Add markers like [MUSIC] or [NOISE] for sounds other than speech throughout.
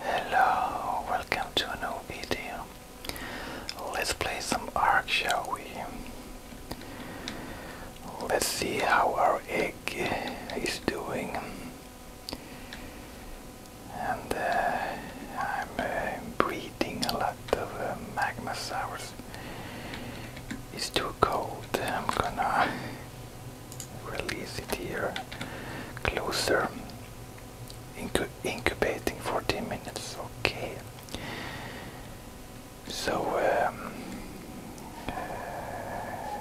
Hello, welcome to a new video. Let's play some Ark, shall we? Let's see how our egg is doing. And uh, I'm uh, breeding a lot of uh, magmasaurs. It's too cold. I'm gonna release it here closer incubating 14 minutes, okay. So, um, uh,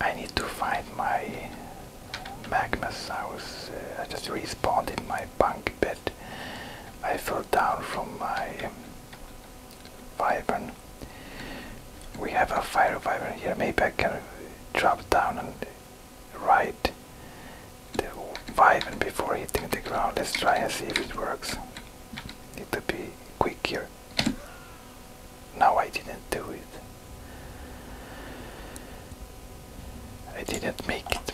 I need to find my Magnus I was I just respawned in my bunk bed. I fell down from my um, we have a fire reviver here. Maybe I can drop down and ride the vibe before hitting the ground. Let's try and see if it works. Need to be quick here. No, I didn't do it. I didn't make it.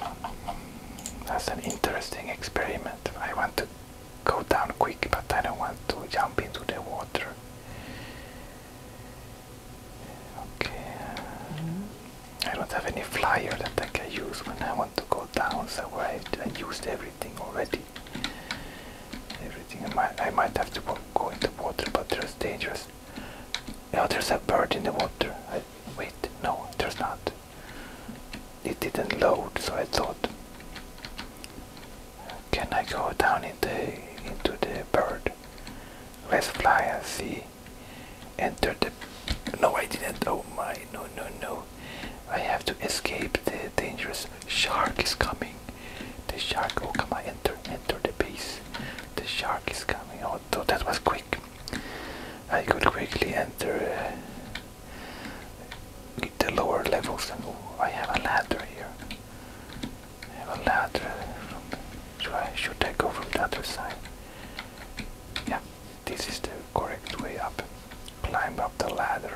That's an interesting experiment. I want to go down quick, but I don't want to jump into the water. Okay. I don't have any flyer that I can use when I want to go down, so I, I used everything already. Everything. I might, have to go into the water, but there's dangerous. Yeah, oh, there's a bird in the water. wait, no, there's not. It didn't load, so I thought, can I go down into the bird? Let's fly and see. Enter the. No, I didn't. Oh my! No, no, no! I have to escape. The dangerous shark is coming. The shark. Oh, come I Enter, enter the base. The shark is coming. Oh, that was quick. I could quickly enter uh, the lower levels. oh, I have a ladder here have a ladder So I, should I go from the other side? Yeah, this is the correct way up. Climb up the ladder.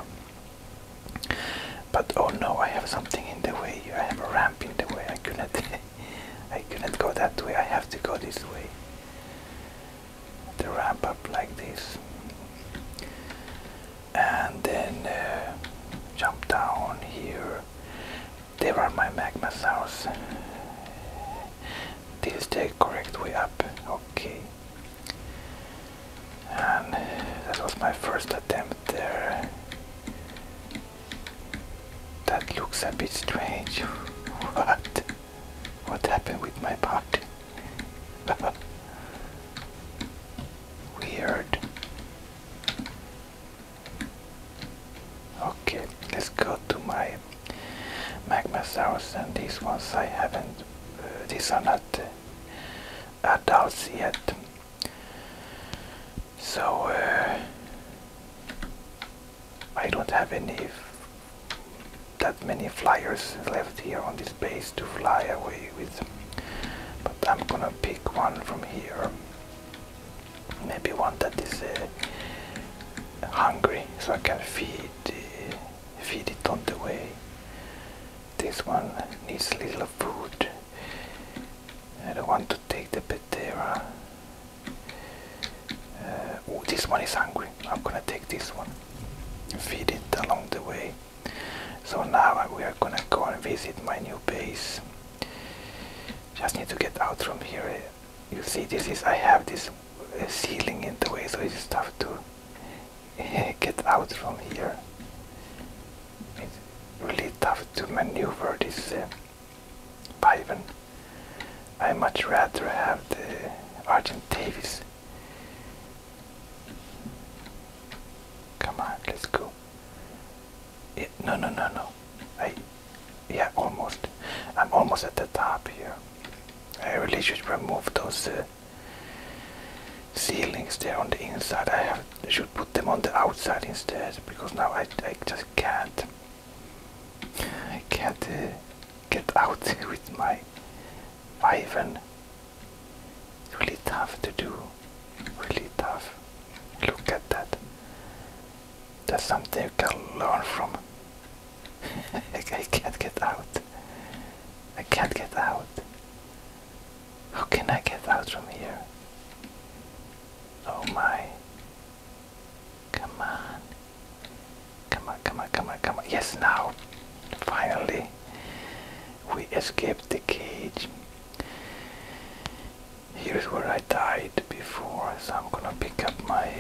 But oh no, I have something in the way. I have a ramp in the way. I couldn't [LAUGHS] I couldn't go that way. I have to go this way. The ramp up like this. And then uh, jump down here. They were my magma sounds. This is the correct way up. Okay. And that was my first attempt there. That looks a bit strange. [LAUGHS] what? What happened with my pot? [LAUGHS] Weird. Okay, let's go to my magmasaurus and these ones I haven't, uh, these are not uh, adults yet. So uh, I don't have any that many flyers left here on this base to fly away with. But I'm gonna pick one from here maybe one that is uh, hungry so I can feed feed it on the way this one needs little food I don't want to take the Petera uh, oh this one is hungry I'm gonna take this one feed it along the way so now we are gonna go and visit my new base just need to get out from here. You see, this is I have this uh, ceiling in the way, so it's tough to [LAUGHS] get out from here. It's really tough to maneuver this uh, Piven. I much rather have the Argent Come on, let's go no, no, no, no. I, yeah, almost. I'm almost at the top here. I really should remove those uh, ceilings there on the inside. I should put them on the outside instead because now I, I just can't. I can't uh, get out [LAUGHS] with my Ivan. It's really tough to do really tough. Look at that. That's something you can learn from. [LAUGHS] I can't get out. I can't get out. How can I get out from here? Oh my. Come on. Come on, come on, come on, come on. Yes, now. Finally. We escaped the cage. Here is where I died before, so I'm gonna pick up my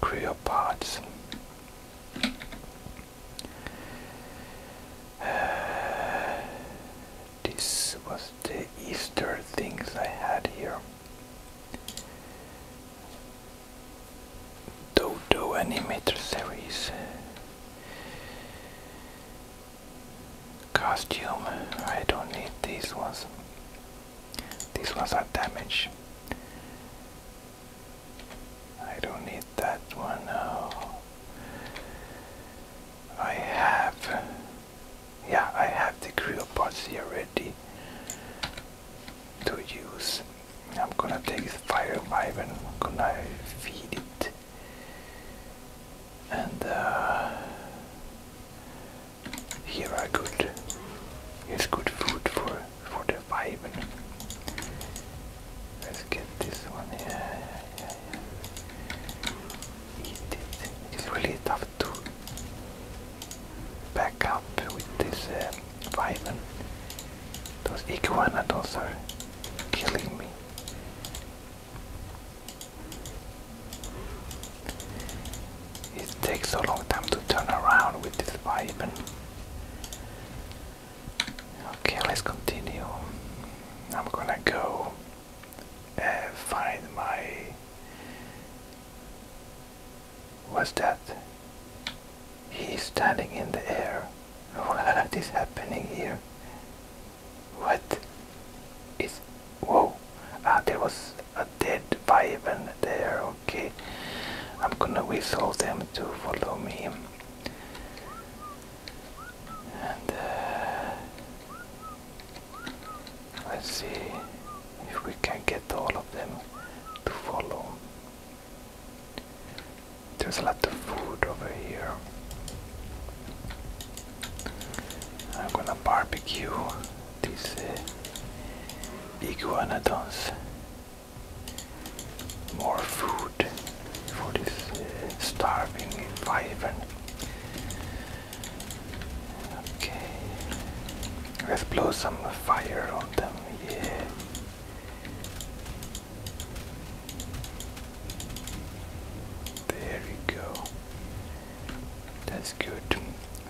Creopods. [SIGHS] this was the Easter things I had here. Dodo Animator Series. Costume. I don't need these ones. These ones are damaged. I don't need that one now. I have. Yeah, I have the grill pots here ready to use. I'm gonna take the fire vibe and I'm gonna feed it and uh, here are good It's good food for for the viper. Let's get this one. here. Eat it. It's really tough to back up with this uh, vibe. Those iguanodons are killing me. It takes so long time to turn around with this weapon. Okay, let's continue. I'm gonna go uh, find my. What's that? He's standing in the air. [LAUGHS] What is happening here? What is. Whoa! Uh, there was a dead Vivan there, okay. I'm gonna whistle them to follow me. And uh, let's see if we can get all of them to follow. There's a lot of food over here. I'm gonna barbecue these uh, iguanodons. More food for this uh, starving wyvern. Okay, let's blow some fire on them. Yeah. There we go. That's good.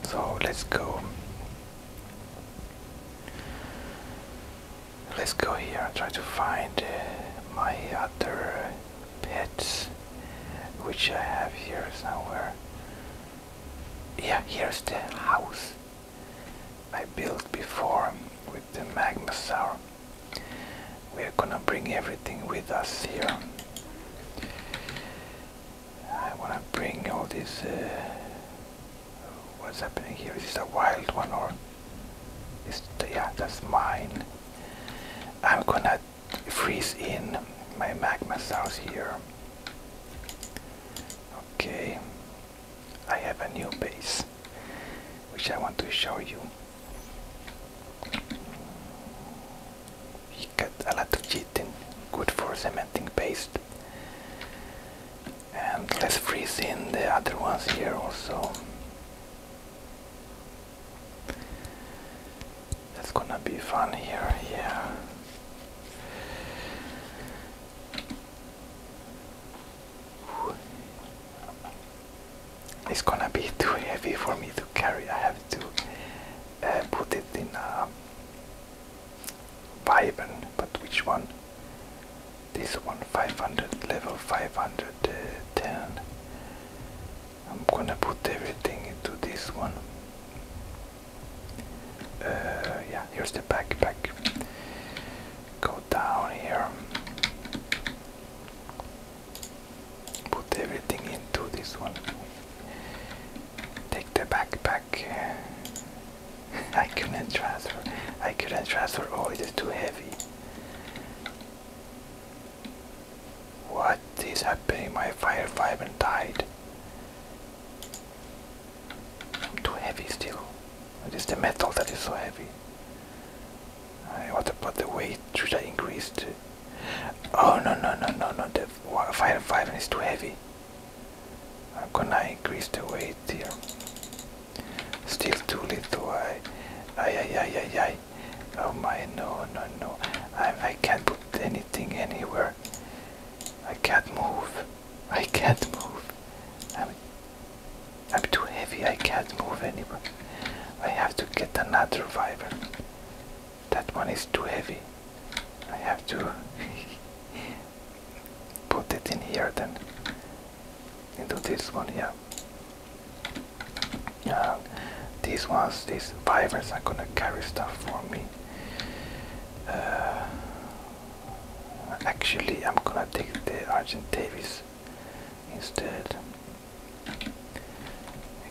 So let's go. Let's go here and try to find uh, my other pets, which I have here somewhere. Yeah, here's the house I built before with the Magmasaur. We're gonna bring everything with us here. I want to bring all this. Uh, what's happening here? Is this a wild one or? Is yeah, that's mine. I'm gonna freeze in my magma south here. Okay, I have a new base, which I want to show you get a lot of chitin, good for cementing paste. And let's freeze in the other ones here also. That's gonna be fun here, yeah. It's gonna be too heavy for me to carry. I have to uh, put it in a Viben, but which one? This one, 500 level, 510. I'm gonna put everything into this one. Uh, yeah, here's the backpack. Go down here put everything into this one. Take the backpack. [LAUGHS] I couldn't transfer. I couldn't transfer. Oh, it is too heavy. What is happening? My fire vibrant died. I'm too heavy still. It is the metal that is so heavy. Uh, what about the weight? Should I increase the Oh no no no no no! The fire five is too heavy. I'm gonna increase the weight here. Still too little. I, I, I, I, I. Oh my! No no no! I I can't put anything anywhere. I can't move. I can't move. I'm I'm too heavy. I can't move anywhere. I have to get another viper that one is too heavy. I have to [LAUGHS] put it in here then into this one here. Uh, these ones, these fibers are gonna carry stuff for me. Uh, actually, I'm gonna take the Argent Davis instead.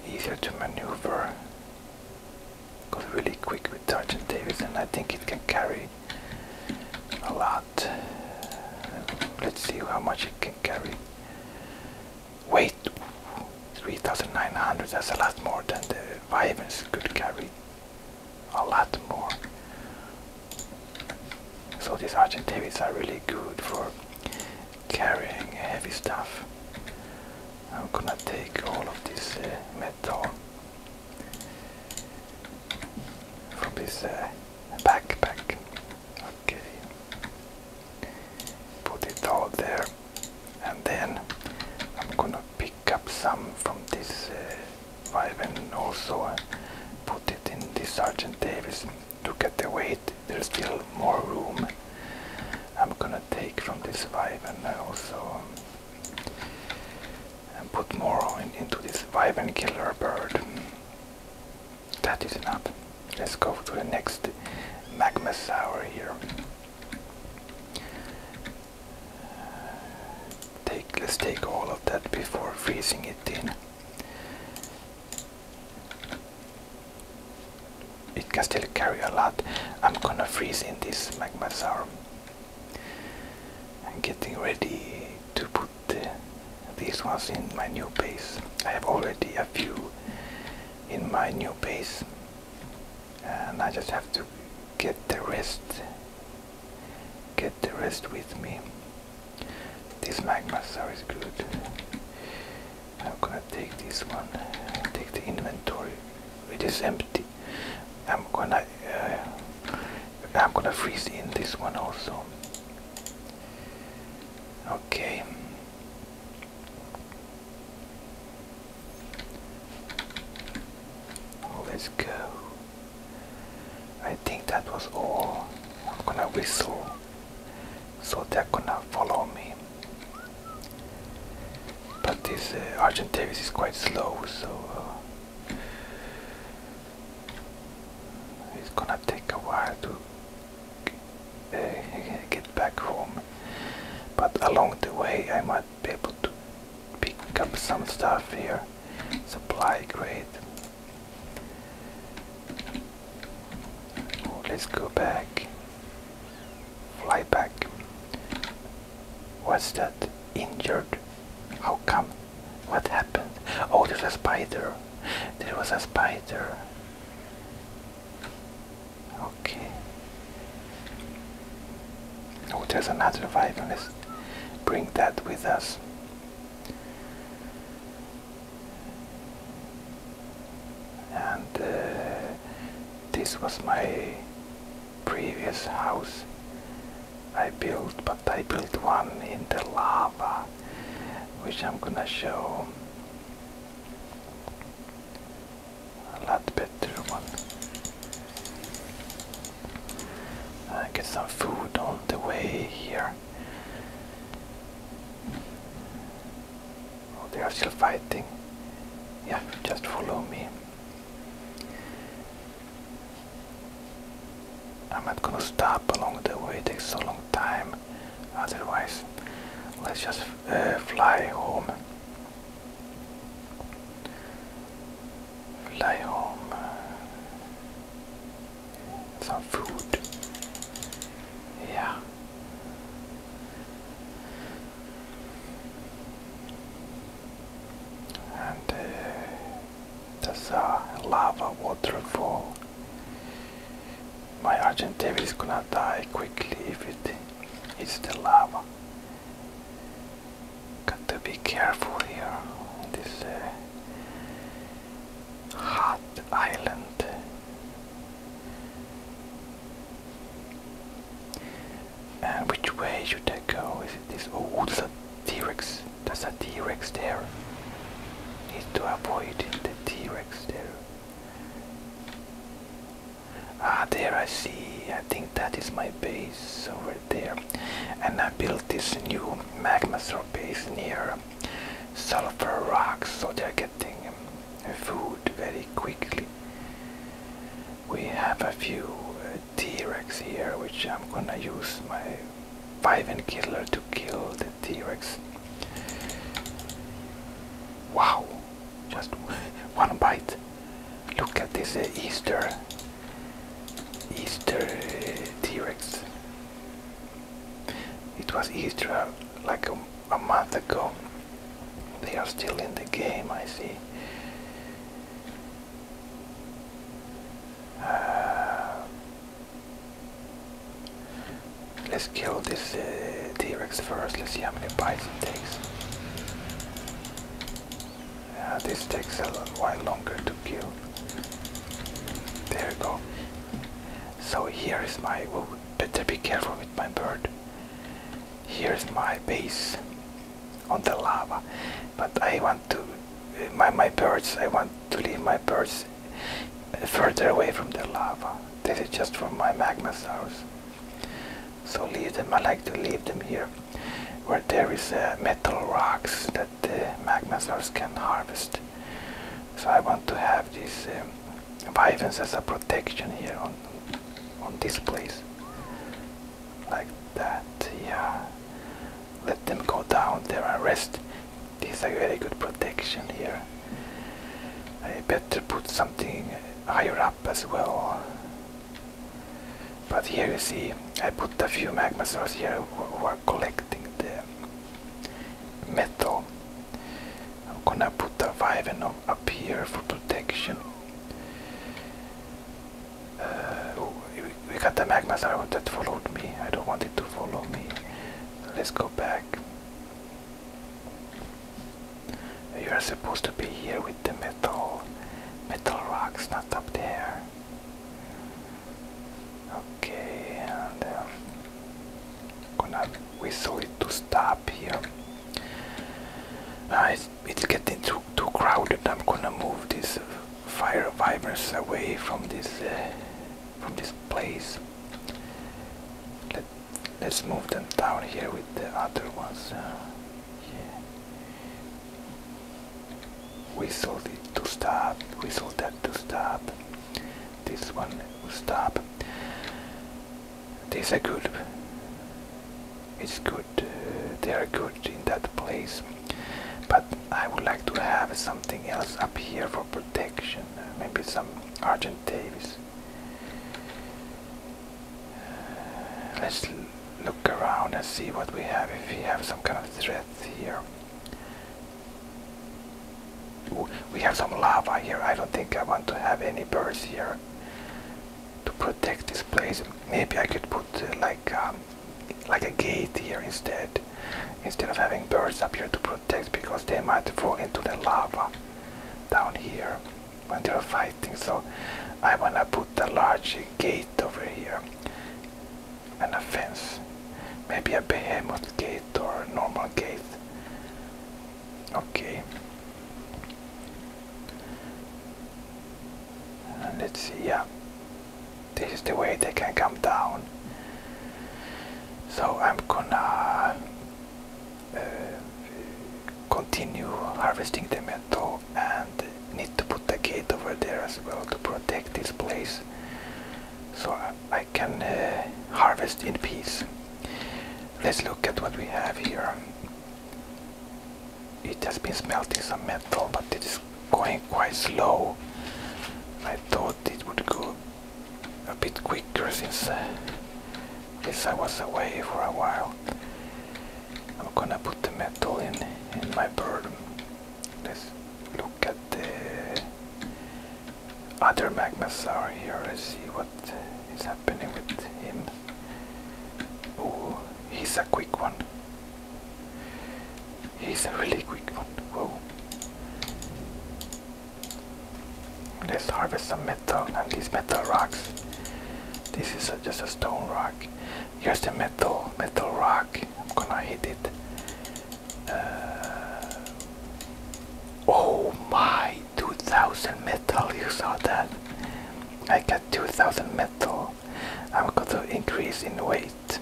Easier to maneuver Got really quick with Sergeant Davis, and I think it can carry a lot. Let's see how much it can carry. Weight 3,900. That's a lot more than the Vivens could carry. A lot more. So these Argent are really good for carrying heavy stuff. I'm gonna take all of this uh, metal from this uh, backpack. Okay, put it all there, and then I'm gonna pick up some from this uh, and also uh, put it in the Sergeant Davis. to get the weight, there's still more room. I'm gonna take from this vibe and uh, also um, and put more into this vibe and killer bird. That is enough. Let's go to the next magma sour here. Take let's take all of that before freezing it in it can still carry a lot. I'm gonna freeze in this magma arm. I'm getting ready to put these ones in my new base. I have already a few in my new base, and I just have to get the rest. Get the rest with me. This magma is good. I'm gonna take this one, take the inventory. It is empty. I'm gonna, uh, I'm gonna freeze in this one also. Okay. Let's go. I think that was all. I'm gonna whistle so they're gonna follow me. But this uh, is quite slow, so uh, it's gonna take a while to uh, [LAUGHS] get back home. But along the way, I might be able to pick up some stuff here. Supply grade. Oh, let's go back. Fly back. Was that? Injured? How come? What happened? Oh, there's a spider. There was a spider. Okay. Oh, there's another vibe. let bring that with us. And uh, this was my previous house I built, but I built one in the lava, which I'm gonna show. A lot better one. I get some food on the way here. Oh, they are still fighting. Yeah, just follow me. I'm not gonna stop along the way, it takes so long time. Otherwise, let's just uh, fly home. Fly home. Some food. Yeah. And uh, there's a lava waterfall. My Argent is gonna die quickly if it hits the lava. Got to be careful here on this uh, hot island. And uh, which way should I go? Is it this? Oh, there's a T-Rex. There's a T-Rex there. Need to avoid the T-Rex there. Ah, there I see. I think that is my base over there. And I built this new magma sort base near sulfur rocks, so they're getting uh, food very quickly we have a few uh, T-Rex here, which I'm gonna use my 5 and killer to kill the T-Rex. Wow, just [LAUGHS] one bite. Look at this uh, Easter, Easter uh, T-Rex. It was Easter uh, like a month ago. They are still in the game, I see. Uh, let's kill this uh, T-Rex first. Let's see how many bites it takes. Uh, this takes a while longer to kill. There we go. So here is my... Oh, better be careful with my bird here's my base on the lava but I want to my, my birds I want to leave my birds further away from the lava this is just for my magmasaurus so leave them I like to leave them here where there is uh, metal rocks that the magmasaurus can harvest so I want to have these um, vivens as a protection here on on this place like that yeah let them go down there and rest this is a very good protection here I better put something higher up as well but here you see I put a few magma here who are collecting the metal I'm gonna put the Viven up here for protection uh, oh, we, got the magma star that followed me. I don't want it to follow me. Let's go back. You are supposed to be here with the metal, metal rocks, not up there. Okay, and um, gonna whistle it to stop here. Uh, it's getting too, too crowded. I'm gonna move these uh, fire vipers away from this uh, from this place. Let, let's move them down here with the other ones. Uh, whistle it to stop, whistle that to stop. This one will stop. These are good. It's good. Uh, they are good in that place. But I would like to have something else up here for protection. Maybe some argentavis. Uh, let's look around and see what we have if we have some kind of threat here. we have some lava here. I don't think I want to have any birds here to protect this place maybe I could put uh, like um, like a gate here instead instead of having birds up here to protect because they might fall into the lava down here when they're fighting so I wanna put a large gate over here and a fence maybe a behemoth gate or normal gate okay and let's see, yeah. This is the way they can come down. So I'm gonna uh, continue harvesting the metal and need to put the gate over there as well to protect this place so I can uh, harvest in peace. Let's look at what we have here it has been smelting some metal but it is going quite slow I thought it would go a bit quicker since uh, since I was away for a while I'm gonna put the metal in in my bird let's look at the other magmas are here let's see what is happening with him Oh, he's a quick one. He's a really quick one. Whoa. Let's harvest some metal and these metal rocks. This is just a stone rock. Here's the metal, metal rock. I'm gonna hit it. Uh, oh my, 2000 metal, you saw that? I can 2000 metal I'm going to increase in weight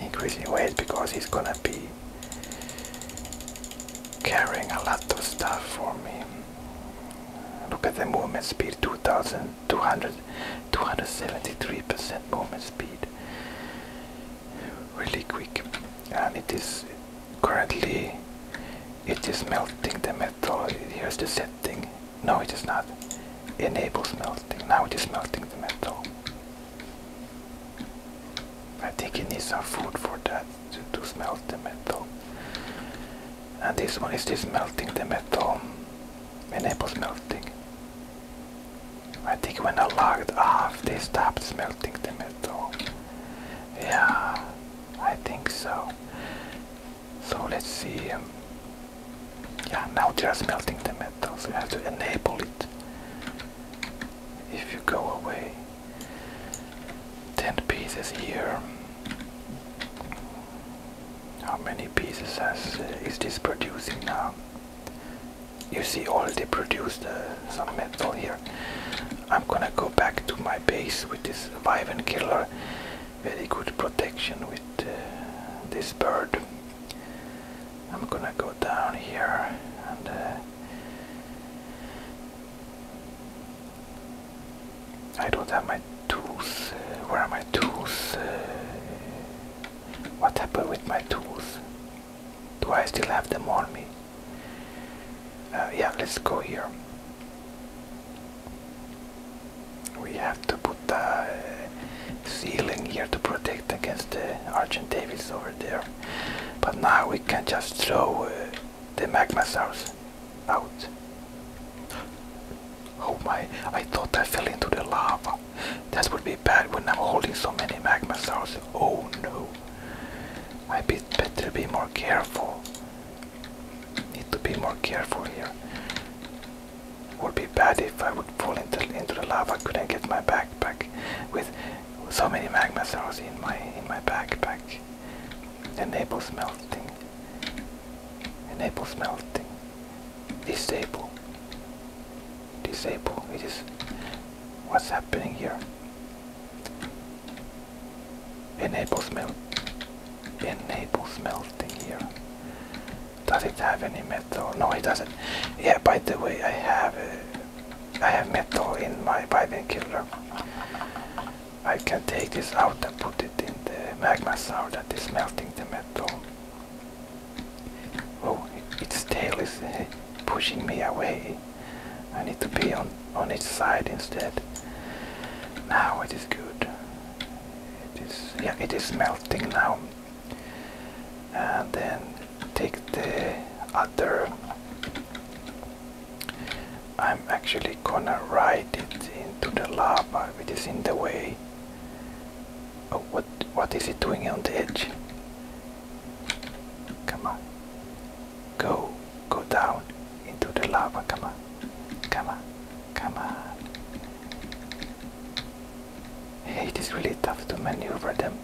increase in weight because he's gonna be carrying a lot of stuff for me look at the movement speed 2200 273% movement speed really quick and it is Currently, it is melting the metal. Here's the setting. No, it is not. Enable melting. Now it is melting the metal. I think it needs some food for that to, to the metal. And this one is just melting the metal. Enable melting. I think when I logged off, they stopped melting the metal. Yeah, I think so. So let's see. yeah, now they are smelting the metal, so you have to enable it. If you go away, 10 pieces here. How many pieces has, uh, is this producing now? You see already produced uh, some metal here. I'm gonna go back to my base with this Vivian Killer. Very good protection with uh, this bird. I'm gonna go down here and uh, I don't have my tools. Uh, where are my tools? what happened with my tools? Do I still have them on me? yeah, let's go here. We have to put the ceiling here to protect against the Argent Davis over there. But now we can just throw uh, the magma Magmasaurus out. Oh my, I thought I fell into the lava. That would be bad when I'm holding so many magma Magmasaurus. Oh no. I be, better be more careful. Need to be more careful here. Would be bad if I would fall into, into the lava. Couldn't get my backpack with so many magma cells in my in my backpack. Enable smelting. Enable smelting. Disable. Disable. It is. What's happening here? Enable smelt. Enable smelting here. Does it have any metal? No, it doesn't. Yeah, by the way, I have uh, I have metal in my killer. I can take this out and put it in the magma sour that is melting the metal. Oh, its tail is uh, pushing me away. I need to be on on its side instead. Now it is good. It is yeah, it is melting now. And then take the other. I'm actually gonna ride it into the lava. It is in the way. Oh, what what is it doing on the edge? Come on. Go. Go down into the lava. Come on. Come on. Come on. it is really tough to maneuver them.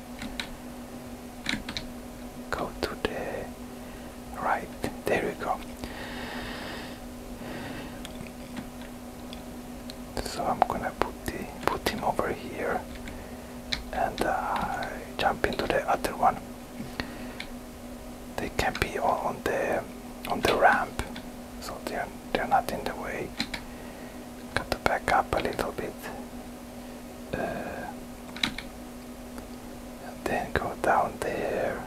Go to the right. There we go. So I'm gonna put the put him over here and uh, jump into the other one they can be on the on the ramp, so they're they're not in the way. Got to back up a little bit, uh, then go down there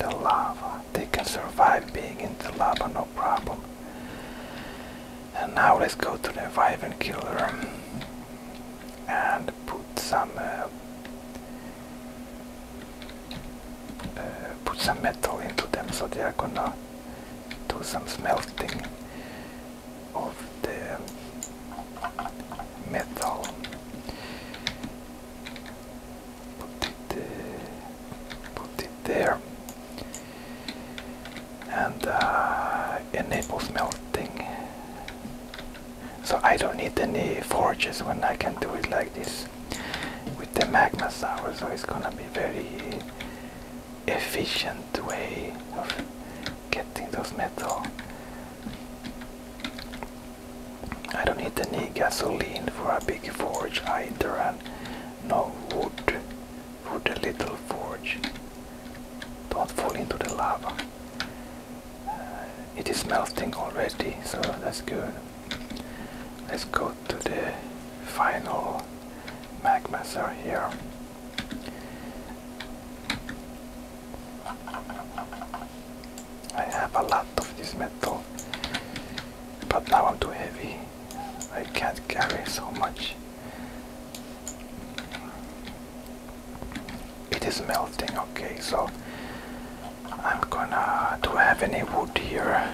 in lava. They can survive being in the lava, no problem. And now let's go to the Viven Killer and put some uh, uh, put some metal into them so they are gonna do some smelting of the metal put it, uh, put it there and enable smelting so I don't need any forges when I can do it like this with the magma sour so it's gonna be very efficient way of getting those metal I don't need any gasoline for a big forge either and no wood for the little forge don't fall into the lava uh, it is melting already so that's good let's go to the final magma are here I have a lot of this metal but now I'm too heavy I can't carry so much it is melting, okay, so I'm gonna. Do have any wood here?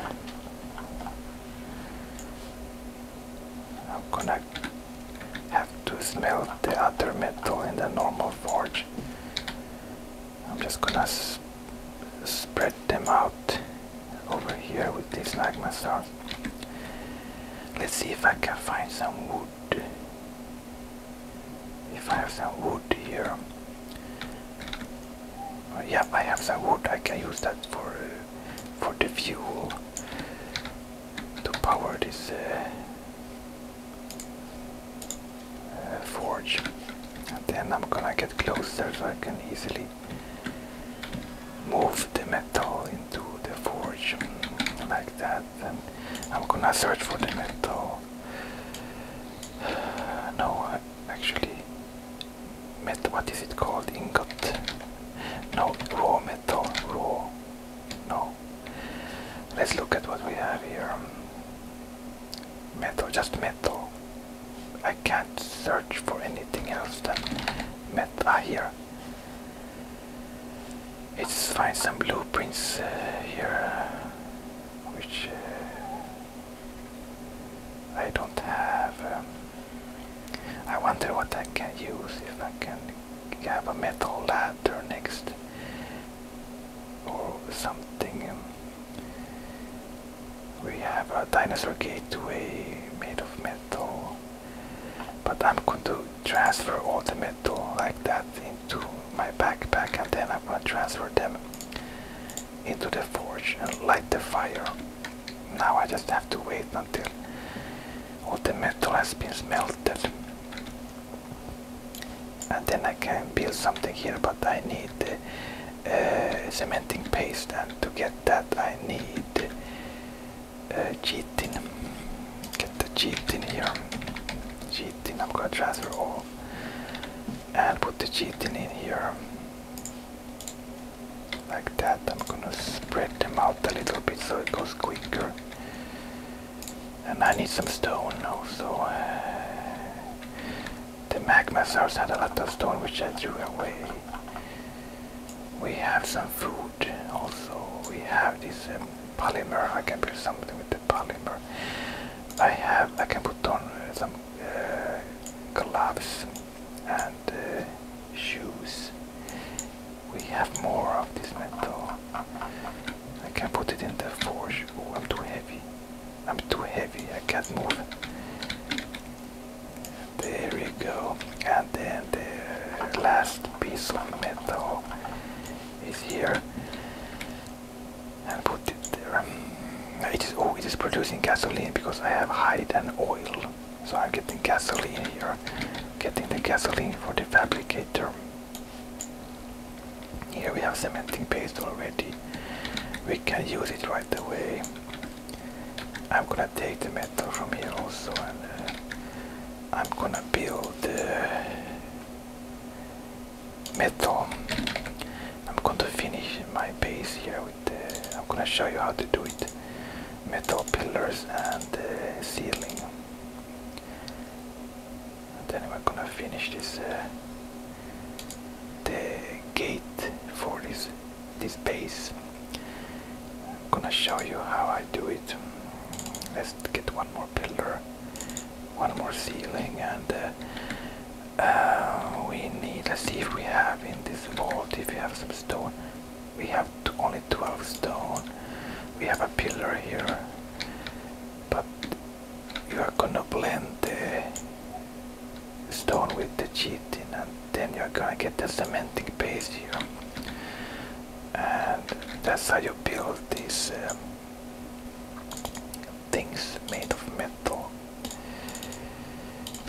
I'm gonna have to smelt the other metal in the normal forge. I'm just gonna spread them out over here with this magma stars. Let's see if I can find some wood. If I have some wood here. Uh, yeah, I have some wood. I can use that for uh, for the fuel to power this uh, forge. And then I'm gonna get closer so I can easily move the metal into the forge mm, like that. I'm gonna search for the metal. No, actually, metal. What is it called? Ingot. No, raw metal. Raw. No. Let's look at what we have here. Metal. Just metal. I can't search for anything else than metal. Ah, here. Let's find some blueprints uh, here which uh, I don't have. Um, I wonder what I can use if I can have a metal ladder next or something. Um. we have a dinosaur gateway made of metal, but I'm going to transfer all the metal like that into my backpack and then I'm gonna transfer them into the forge and light the fire. Now I just have to wait until all the metal has been smelted. And then I can build something here, but I need uh, cementing paste, and to get that I need uh, chitin. Get the chitin here. Chitin, I'm gonna transfer all and put the chitin in here like that I'm gonna spread them out a little bit so it goes quicker and I need some stone also uh, the magma source had a lot of stone which I threw away we have some food also we have this um, polymer. I can build something with the polymer. I have. I can put on uh, some uh, gloves and uh, shoes. We have more of this metal. I can put it in the forge. Oh, I'm too heavy. I'm too heavy. I can't move. There we go. And then the last piece of metal is here and put it there. It is oh, it is producing gasoline because I have hide and oil, so I'm getting gasoline here. Getting the gasoline for the fabricator. Here we have cementing paste already. We can use it right away. I'm gonna take the metal from here also, and uh, I'm gonna build. Uh, metal. I'm going to finish my base here with the, I'm going to show you how to do it. Metal pillars and uh, ceiling. And then we're going to finish this uh, the gate for this this base. I'm going to show you how I do it. Let's get one more pillar one more ceiling and uh, uh, we need let's see if we have in this vault if we have some stone we have only 12 stone we have a pillar here but you are gonna blend the stone with the chitin and then you're gonna get the cementing paste here and that's how you build this. Um, things made of metal.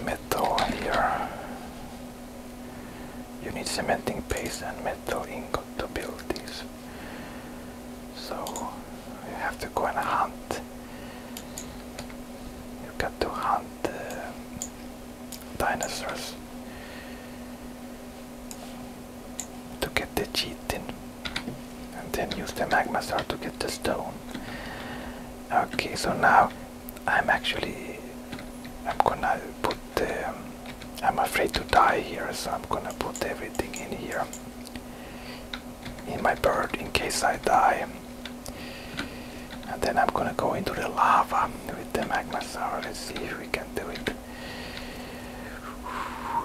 Metal here. You need cementing paste and metal ingot to build these. So you have to go and hunt. You got to hunt uh, dinosaurs to get the cheating and then use the magma star to get the stone. Okay, so now I'm actually I'm gonna put the I'm afraid to die here, so I'm gonna put everything in here in my bird in case I die. And then I'm gonna go into the lava with the magma sour. Let's see if we can do it.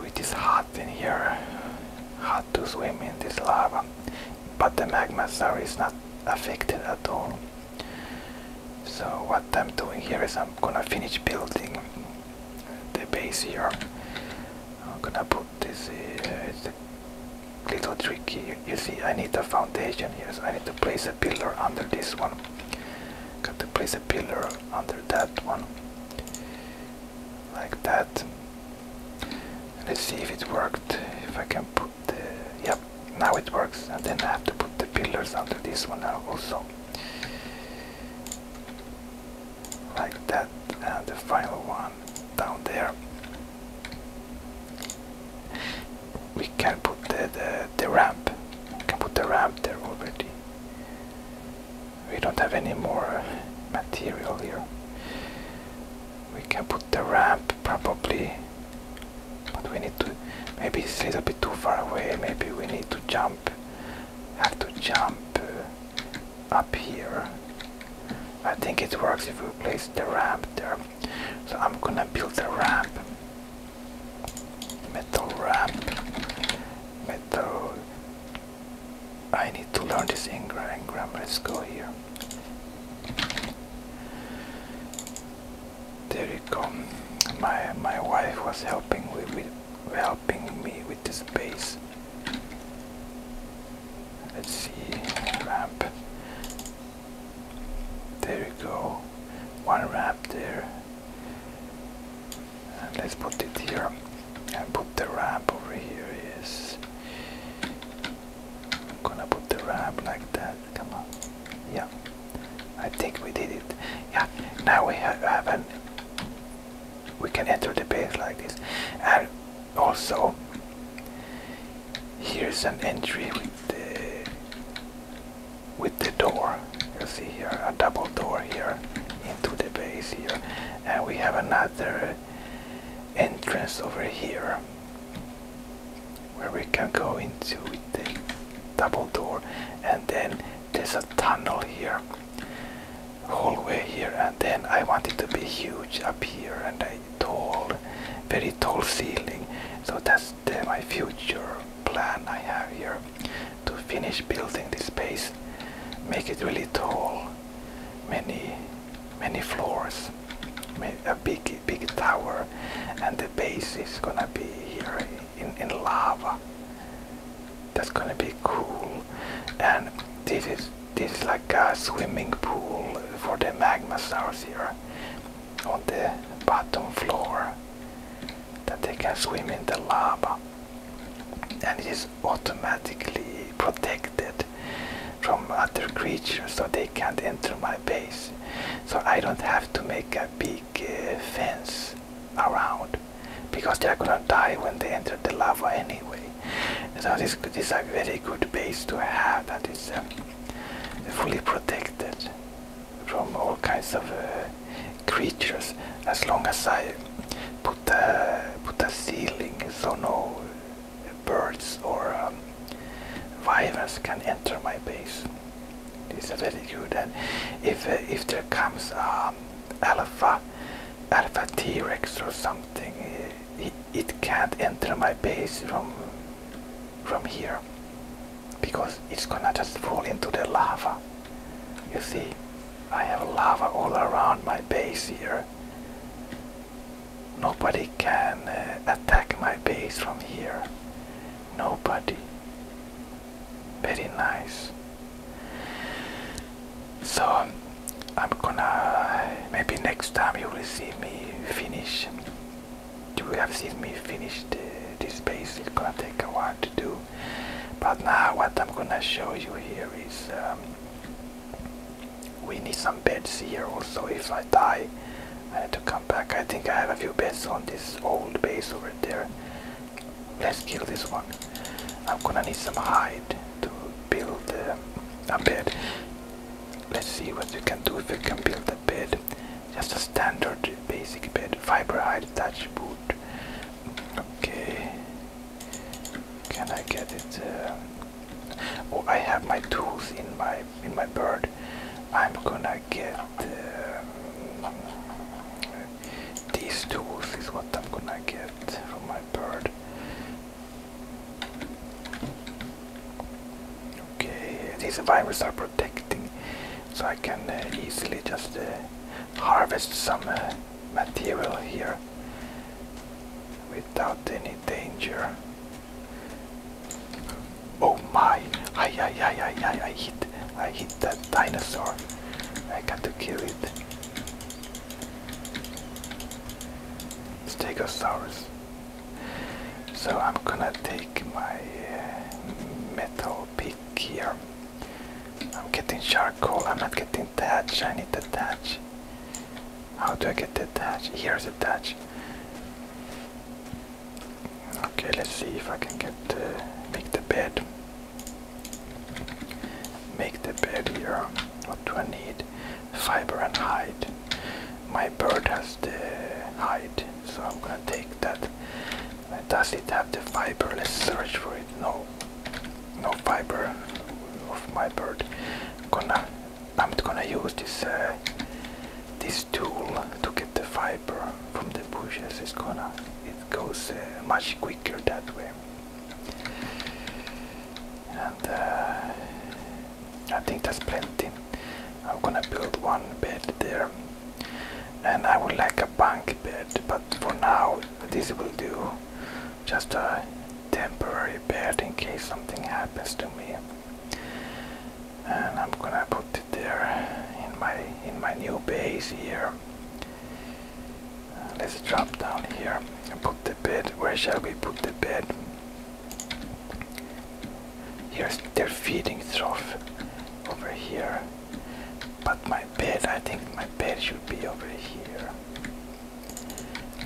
It is hot in here had to swim in this lava, but the magma star is not affected at all. So what I'm doing here is I'm gonna finish building the base here. I'm gonna put this, uh, it's a little tricky. You see I need a foundation here, I need to place a pillar under this one. Got to place a pillar under that one like that let's see if it worked if I can put the yep now it works and then I have to put the pillars under this one now also like that and the final one down there we can put the, the, the ramp we can put the ramp there already we don't have any more material here. We can put the ramp probably, but we need to, maybe it's a little bit too far away, maybe we need to jump, have to jump uh, up here. I think it works if we place the ramp there. So I'm gonna build a ramp. Metal ramp. Metal I need to learn this engram. Let's go here. There you go. My my wife was helping with, with helping me with this base. Let's see ramp. There you go. One wrap there and let's put it here and put the ramp over here yes I'm gonna put the ramp like that come on yeah I think we did it yeah now we have an we can enter the base like this and also here's an entry with the with the door you see here a double door here into the base here and we have another entrance over here where we can go into the double door and then there's a tunnel here hallway here and then I want it to be huge up here and a tall very tall ceiling so that's my future plan I have here to finish building this space make it really tall many many floors a big big tower and the base is gonna be here in, lava that's gonna be cool and this is this is like a swimming pool for the magma stars here on the bottom floor that they can swim in the lava and it is automatically protected from other creatures so they can't enter my base so i don't have to make a big uh, fence around because they're gonna die when they enter the lava anyway so this, is a very good base to have that is um, fully protected from all kinds of uh, creatures as long as i put the put a ceiling so no birds or um, vipers can enter my base. It's is very good. And if uh, if there comes um, alpha alpha T Rex or something, uh, it, it can't enter my base from from here because it's gonna just fall into the lava. You see. I have lava all around my base here. Nobody can uh, attack my base from here. Nobody. Very nice. So um, I'm gonna maybe next time you will see me finish. You have seen me finish this base. It's gonna take a while to do. But now what I'm gonna show you here is um, we need some beds here also. If I die, I need to come back. I think I have a few beds on this old base over there. Let's kill this one. I'm gonna need some hide to build a bed. Let's see what we can do if we can build a bed. Just a standard basic bed. Fiber hide, thatch boot. Okay. Can I get it? Uh, oh, I have my tools in my in my bird. I'm gonna get uh, these tools. Is what I'm gonna get from my bird. Okay, these virus are protecting, so I can uh, easily just harvest some material here without any danger. Oh my! I, I, I, I, I, I hit, I hit that dinosaur. I got to kill it. Stegosaurus. So I'm gonna take my uh, metal pick here. I'm getting charcoal. I'm not getting thatch. I need the thatch. How do I get the attach? Here's attach. Okay, let's see if I can get uh, make the bed. Make the bed here. What do I need? Fiber and hide. My bird has the hide, so I'm gonna take that. Does it have the fiber? Let's search for it. No no fiber of my bird. Gonna, I'm gonna use this uh, this tool to get the fiber from the bushes. It's gonna, it goes uh, much quicker that way. And uh, I think that's plenty. I'm gonna build one bed there, and I would like a bunk bed, but for now this will do just a temporary bed in case something happens to me and I'm gonna put it there in my in my new base here let's drop down here and put the bed where shall we put the bed here's their feeding trough over here but my bed I think my bed should be over here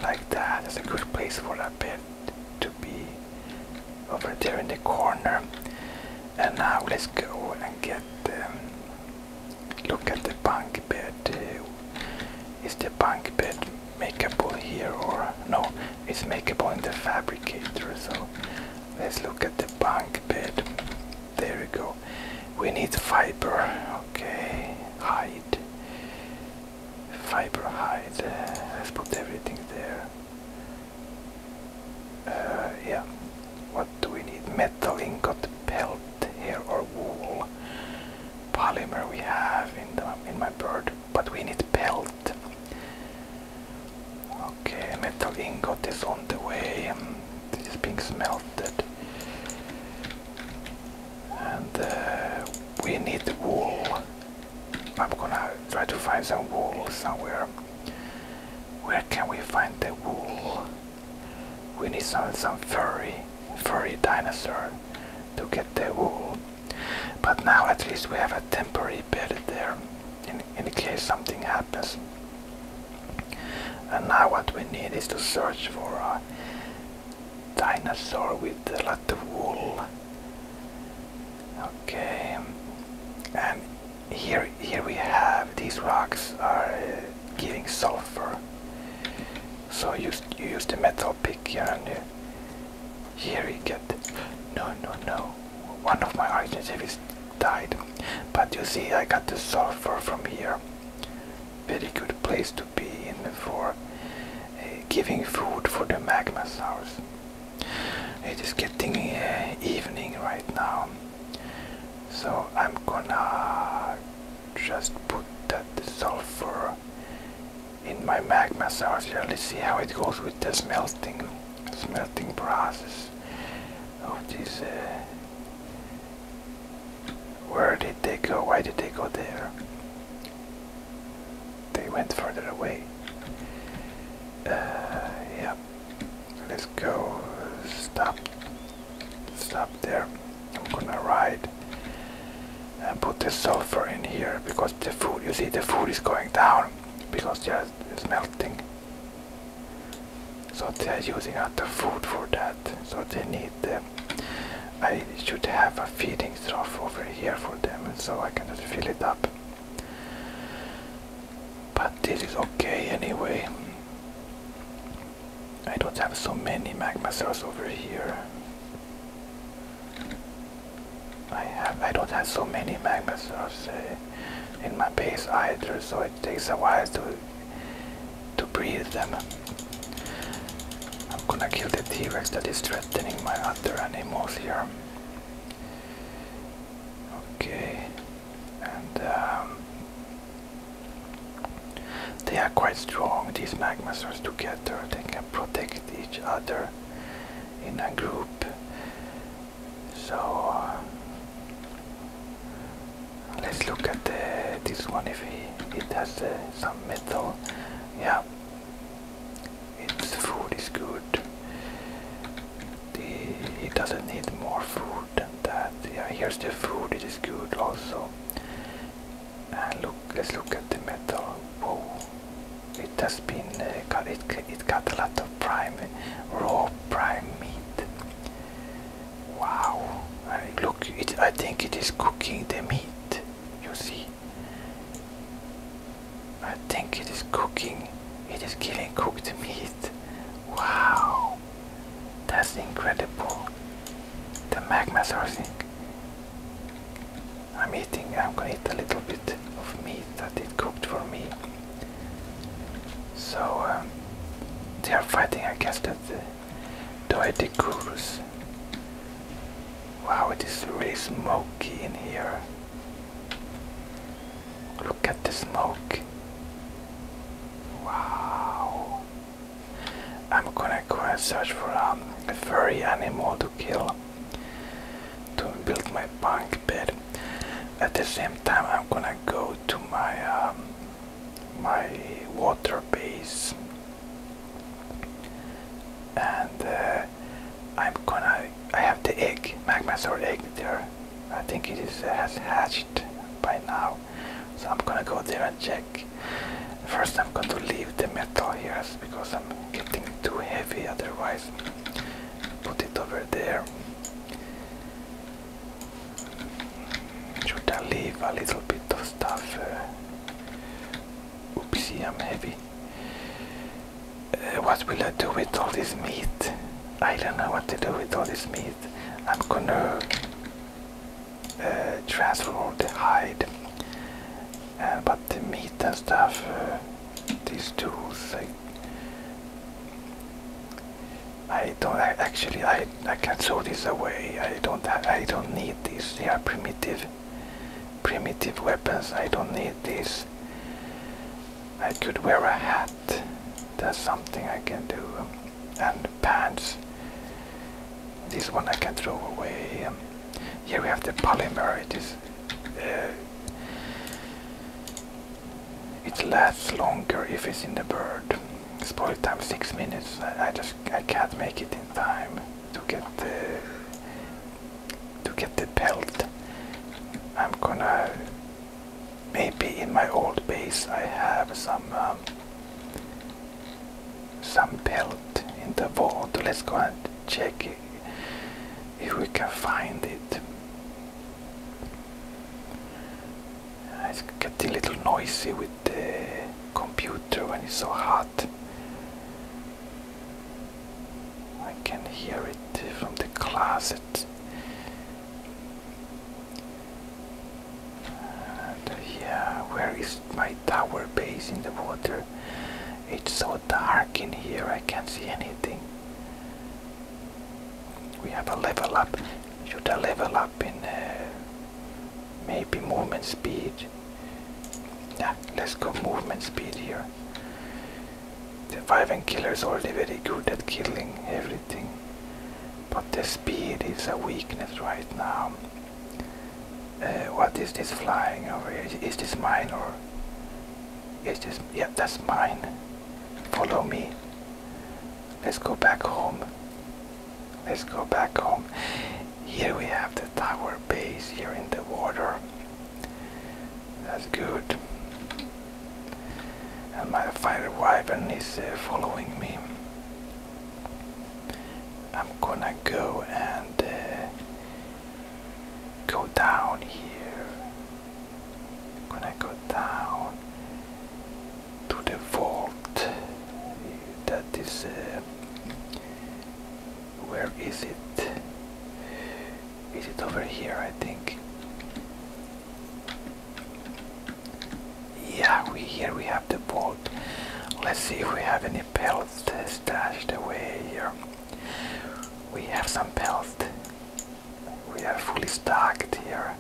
like that. It's a good place for a bed to be over there in the corner. And now let's go and get um, look at the bunk bed. Is the bunk bed makeable here or no? It's makeable in the fabricator. So let's look at the bunk bed. There we go. We need fiber. Okay, hide fiber height. Uh, let's put everything there. Uh, yeah. What do we need? Metal ingot, pelt hair, or wool. Polymer we have in in my bird, but we need pelt. Okay, metal ingot is on the way. This is being smelted. And uh, we need wool. I'm gonna try to find some wool somewhere. Where can we find the wool? We need some some furry, furry dinosaur to get the wool. But now at least we have a temporary bed there, in in case something happens. And now what we need is to search for uh, dinosaur with a lot of wool. Okay, and here here we have these rocks are uh, giving sulfur. So you you use the metal pick here and uh, here you get no no no one of my argentavis died, but you see I got the sulfur from here very good place to be in for uh, giving food for the magma source. It is getting uh, evening right now, so I'm gonna just put that sulfur in my magma source Let's see how it goes with the smelting, smelting process of this. Uh, where did they go? Why did they go there? They went further away. Uh, yeah, let's go. Stop. Stop there. I'm gonna ride and put the sulfur in here because the food. You see, the food is going down because yeah, it's melting. So they're using up the food for that so they need them I should have a feeding trough over here for them so I can just fill it up but this is okay anyway I don't have so many magma cells over here I have I don't have so many magma cells eh, in my base either so it takes a while to to breathe them I'm gonna kill the T-Rex that is threatening my other animals here. Okay, and um, they are quite strong, these magmasaurs together. They can protect each other in a group. So uh, let's look at uh, this one if it has uh, some metal. Yeah, its food is good. he doesn't need more food than that. Yeah, here's the food. It is good also. And look, let's look at the metal. Whoa, it has been uh, It, it got a lot of prime, raw prime meat. Wow! look, it. I think it is cooking the meat. You see, I think it is cooking. It is giving cooked meat. Wow. That's incredible. The magma sourcing. I'm eating, I'm gonna eat a little bit of meat that it cooked for me. So um, they are fighting against the Doeticurus. Wow, it is really smoky in here. Look at the smoke. Wow. I'm gonna go and search for a furry animal to kill to build my bunk bed. At the same time, I'm gonna go to my um, my water base and uh, I'm gonna I have the egg magma sword egg there I think it is uh, has hatched by now so I'm gonna go there and check first I'm going to leave the metal here because I'm getting too heavy otherwise put it over there should I leave a little bit of stuff uh, Oopsie, I'm heavy. Uh, what will I do with all this meat? I don't know what to do with all this meat. I'm gonna uh, transfer the hide. Uh, but the meat and stuff, uh, these tools, I, don't actually I I can throw this away. I don't I don't need these. They are primitive primitive weapons. I don't need these. I could wear a hat. That's something I can do. And pants. This one I can throw away. Um, here we have the polymer. It is. Uh, it lasts longer if it's in the bird. Spoil time six minutes. I just I can't make it in time to get the to get the pelt. I'm gonna maybe in my old base I have some um, some pelt in the vault. Let's go and check if we can find it. It's getting a little noisy with the computer when it's so hot. I can hear it from the closet. yeah, where is my tower base in the water? It's so dark in here, I can't see anything. We have a level up. Should I level up in there? Uh, maybe movement speed let's go movement speed here the five vivan killer is already very good at killing everything but the speed is a weakness right now uh, what is this flying over here is, this mine or is this yeah that's mine follow me let's go back home let's go back home here we have the tower base here in the water. That's good. And my fire wyvern is uh, following me. I'm gonna go and uh, go down here. I'm gonna go down to the vault that is uh, where is it? Is it over here? I think. Yeah, we here we have the boat. Let's see if we have any pelts stashed away here. We have some pelts. We are fully stocked here.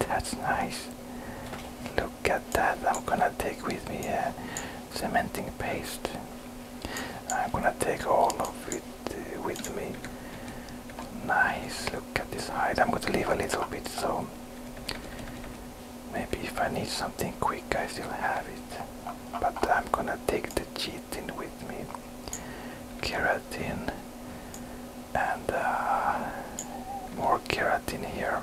That's nice. Look at that. I'm gonna take with me a cementing paste. I'm gonna take all of it uh, with me. Nice, look at this hide. I'm gonna leave a little bit so maybe if I need something quick I still have it. But I'm gonna take the chitin with me. Keratin and uh, more keratin here.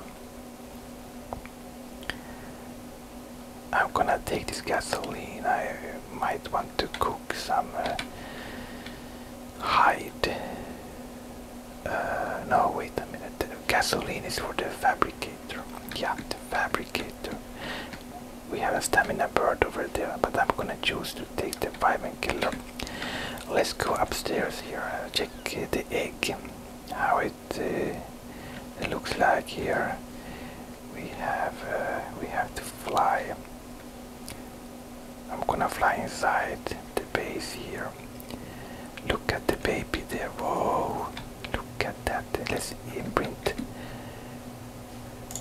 I'm gonna take this gasoline. I might want to cook some uh, hide. Uh, no, wait a minute. Gasoline is for the fabricator. Yeah, the fabricator. We have a stamina bird over there, but I'm gonna choose to take the vitamin killer. Let's go upstairs here. Uh, check the egg. How uh, it, looks like here we have uh, we have to fly I'm gonna fly inside the base here look at the baby there whoa look at that let's imprint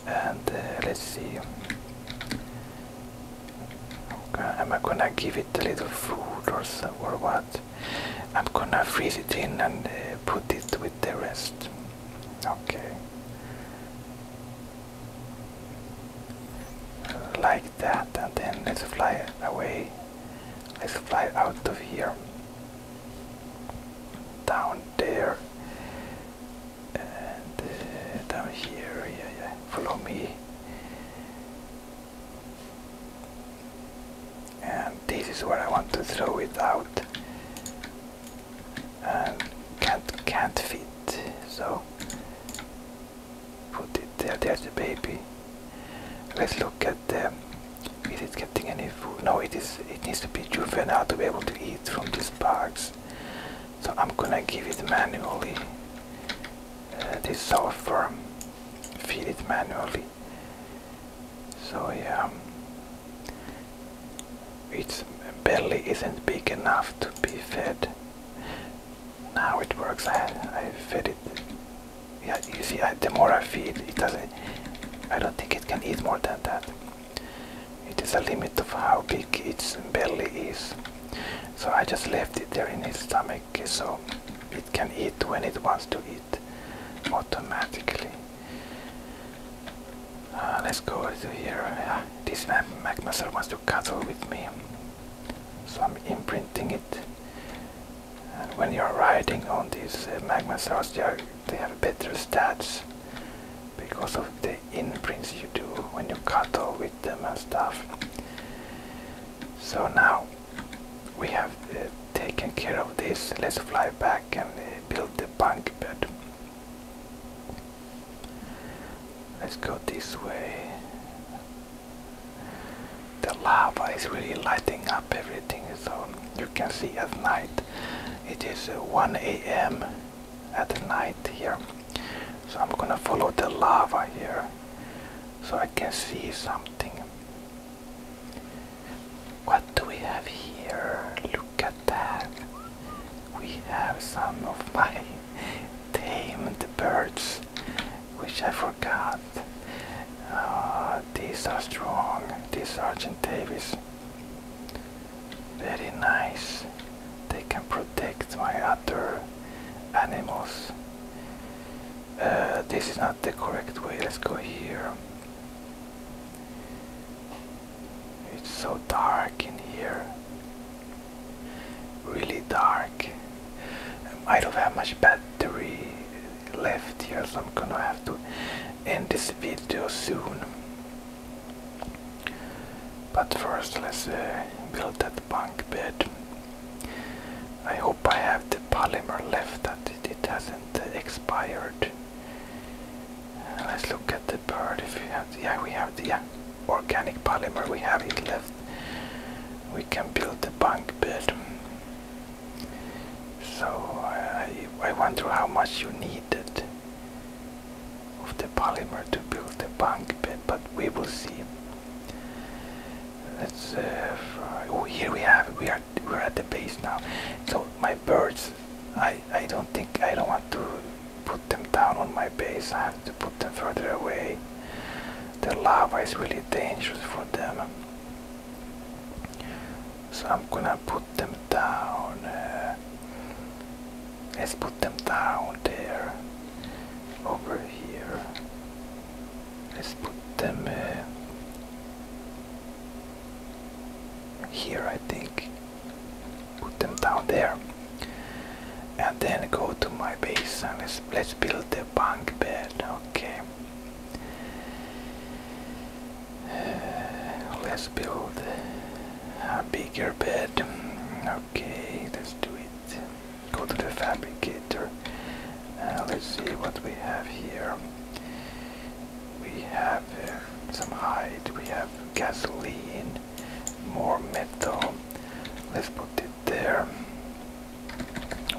and uh, let's see Am I gonna give it a little food or, so, or what? I'm gonna freeze it in and uh, put it with the rest. Okay. Like that, and then let's fly away. Let's fly out of here. Down there. And uh, down here, yeah, yeah. Follow me and this is where I want to throw it out and can't can't fit so put it there there's the baby let's look at the is it getting any food no it is it needs to be juvenile to be able to eat from these bags so I'm gonna give it manually uh, This soft sulfur feed it manually so yeah, its belly isn't big enough to be fed. Now it works. I I fed it. Yeah, you see, the more I feed, it doesn't. I don't think it can eat more than that. It is a limit of how big its belly is. So I just left it there in its stomach so it can eat when it wants to eat automatically. Ah, let's go to here. Uh, this Magnuser wants to cuddle with me. So I'm imprinting it. And when you're riding on these uh, Magnusaurs, they, are, they have better stats because of the imprints you do when you cuddle with them and stuff. So now we have uh, taken care of this. Let's fly back and uh, build the bunk bed. Let's go this way. The lava is really lighting up everything so you can see at night. It is uh, 1 a.m. at night here. So I'm gonna follow the lava here so I can see something. What do we have here? Look at that. We have some of my tame birds, which I forgot. Uh, these are strong. These Sergeant Davis. Very nice. They can protect my other animals. Uh, this is not the correct way. Let's go here. It's so dark in here. Really dark. I don't have much battery left here, so I'm gonna have to end this video soon. But first, let's uh, build that bunk bed. I hope I have the polymer left that it hasn't expired let's look at the bird. If we have, the, yeah, we have the organic polymer. We have it left. We can build the bunk bed. So I, I wonder how much you need it of the polymer to build the bunk bed, but we will see. Let's. Uh, oh, here we have. We are we're at the base now so my birds i i don't think i don't want to put them down on my base i have to put them further away the lava is really dangerous for them so i'm gonna put them down uh, let's put them down there over here let's put them uh, here I think put them down there and then go to my base and let's, let's build the bunk bed okay [SIGHS] let's build a bigger bed okay let's do it go to the fabricator uh, let's see what we have here we have uh, some hide, we have gasoline, more metal. Let's put it there.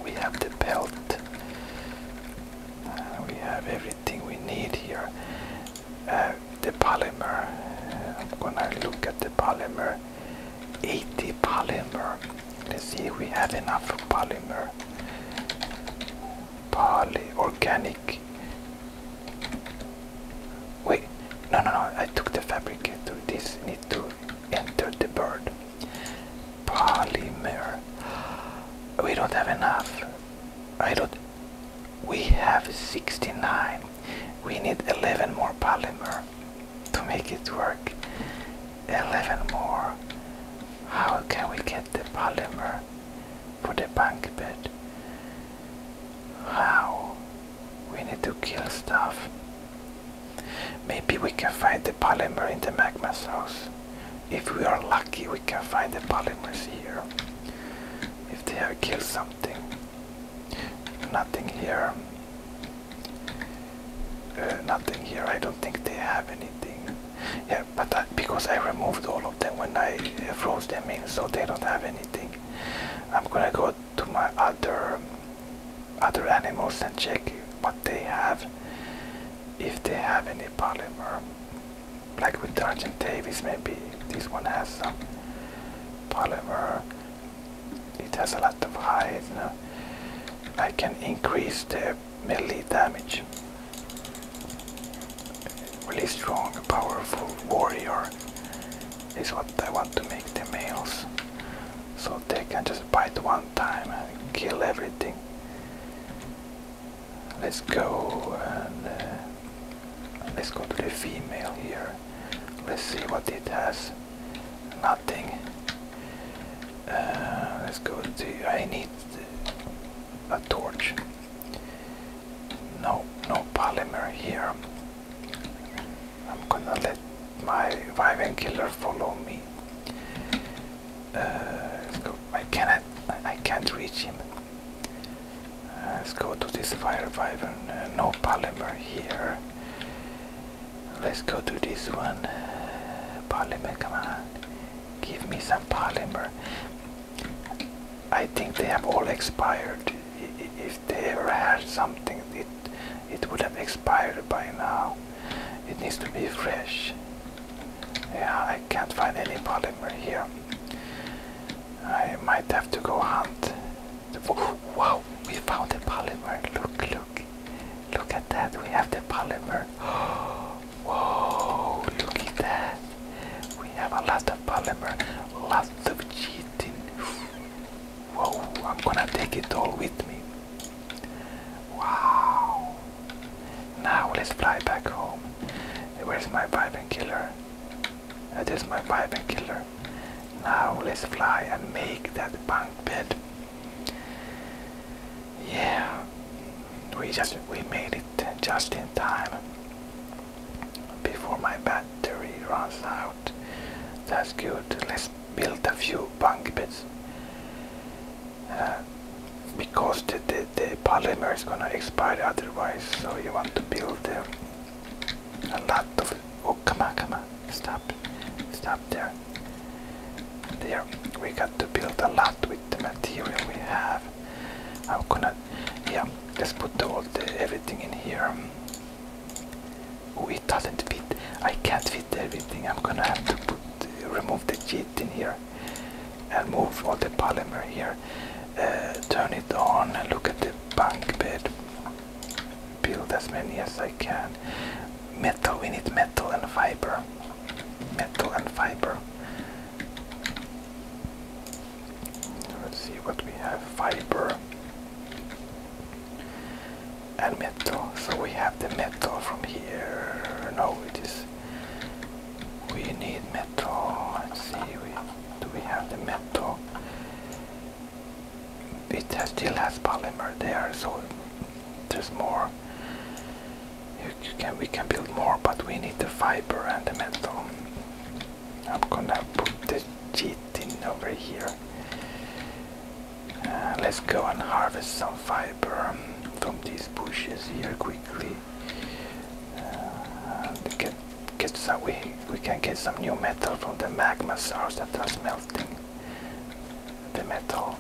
We have the belt. Uh, we have everything we need here. Uh, the polymer. I'm gonna look at the polymer. 80 polymer. Let's see we have enough polymer. Pali organic. Wait, no, no, no. I took the fabricator. This need to enter the bird. Polymer. We don't have enough. I don't. We have 69. We need 11 more polymer to make it work. 11 more. How can we get the polymer? for the bank bed. How? We need to kill stuff. Maybe we can find the polymer in the magma source. If we are lucky we can find the polymers here. If they have killed something. Nothing here. Uh, nothing here. I don't think they have anything. Yeah, but because I removed all of them when I uh, froze them in, so they don't have anything. I'm gonna go to my other other animals and check what they have, if they have any polymer. Like with Sergeant Davis, maybe this one has some polymer. It has a lot of hides. You know? I can increase the melee damage. Really strong, powerful warrior is what I want to make the males. So they can just bite one time and kill everything. Let's go and uh, let's go to the female here. Let's see what it has. Nothing. Uh, let's go to. I need a torch. No, no polymer here. I'm gonna let my Viven killer follow me. Uh, let's go. I cannot. I can't reach him. Uh, let's go to this fire Viven. Uh, no polymer here. Let's go to this one. Polymer, come on. Give me some polymer. I think they have all expired. If they ever had something, it it would have expired by now. It needs to be fresh. Yeah, I can't find any polymer here. I might have to go hunt. Oh, wow, we found a polymer. Look, look, look at that. We have the polymer. [GASPS] Oh, Whoa, look at that. We have a lot of polymer, lots of cheating. Whoa, I'm gonna take it all with me. Wow. Now let's fly back home. Where's my vibe killer? Uh, that is my vibe killer. Now let's fly and make that bunk bed. Yeah we just we made it just in time before my battery runs out. That's good. Let's build a few bunk beds uh, because the, the, polymer is gonna expire otherwise. So you want to build uh, a lot of. Oh come on, come on! Stop, stop there. There, we got to build a lot with the material we have. I'm gonna, yeah, let's put all the everything in here. Oh, it doesn't fit. I can't fit everything. I'm gonna have to put, remove the jet in here and move all the polymer here. Uh, turn it on and look at the bunk bed. Build as many as I can. Metal, we need metal and fiber. Metal and fiber. Let's see what we have fiber metal. So we have the metal from here. No, it is. We need metal. Let's see. do we have the metal? It has, still has polymer there, so there's more we can build more, but we need the fiber and the metal. I'm gonna put the cheat in over here. Uh, let's go and harvest some fiber from these bushes here quickly. Uh, get, some, we, we can get some new metal from the magma source that was melting the metal.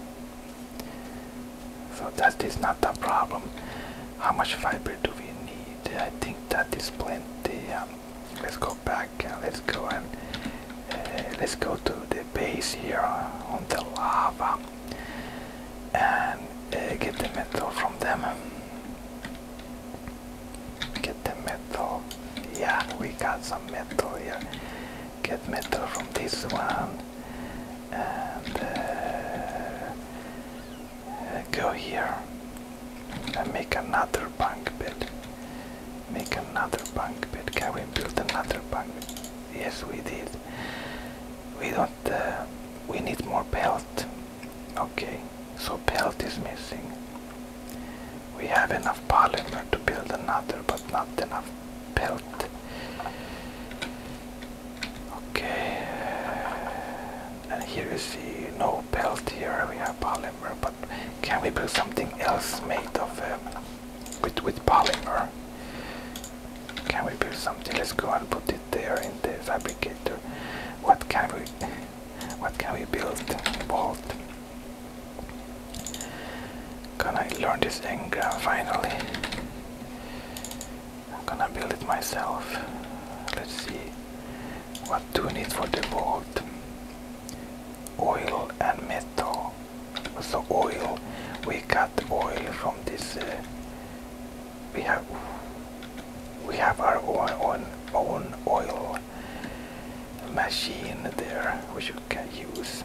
So that is not the problem how much fiber do we need i think that is plenty um, let's go back and let's go and uh, let's go to the base here on the lava and uh, get the metal from them get the metal yeah we got some metal here get metal from this one uh, go here and make another bank bed. Make another bank bed. Can we build another bank bed? Yes, we did. We don't. Uh, we need more pelt. Okay, so pelt is missing. We have enough polymer to build another, but not enough belt. Okay, and here you see no belt here, we have polymer, but can we build something else made of um, with, with polymer? Can we build something? Let's go and put it there in the fabricator. What can we what can we build? Bolt. Can I learn this engram finally? I'm gonna build it myself. Let's see. What do we need for the boat: Oil and metal. So oil. We got oil from this. Uh, we have. We have our own, own oil machine there, which you can use.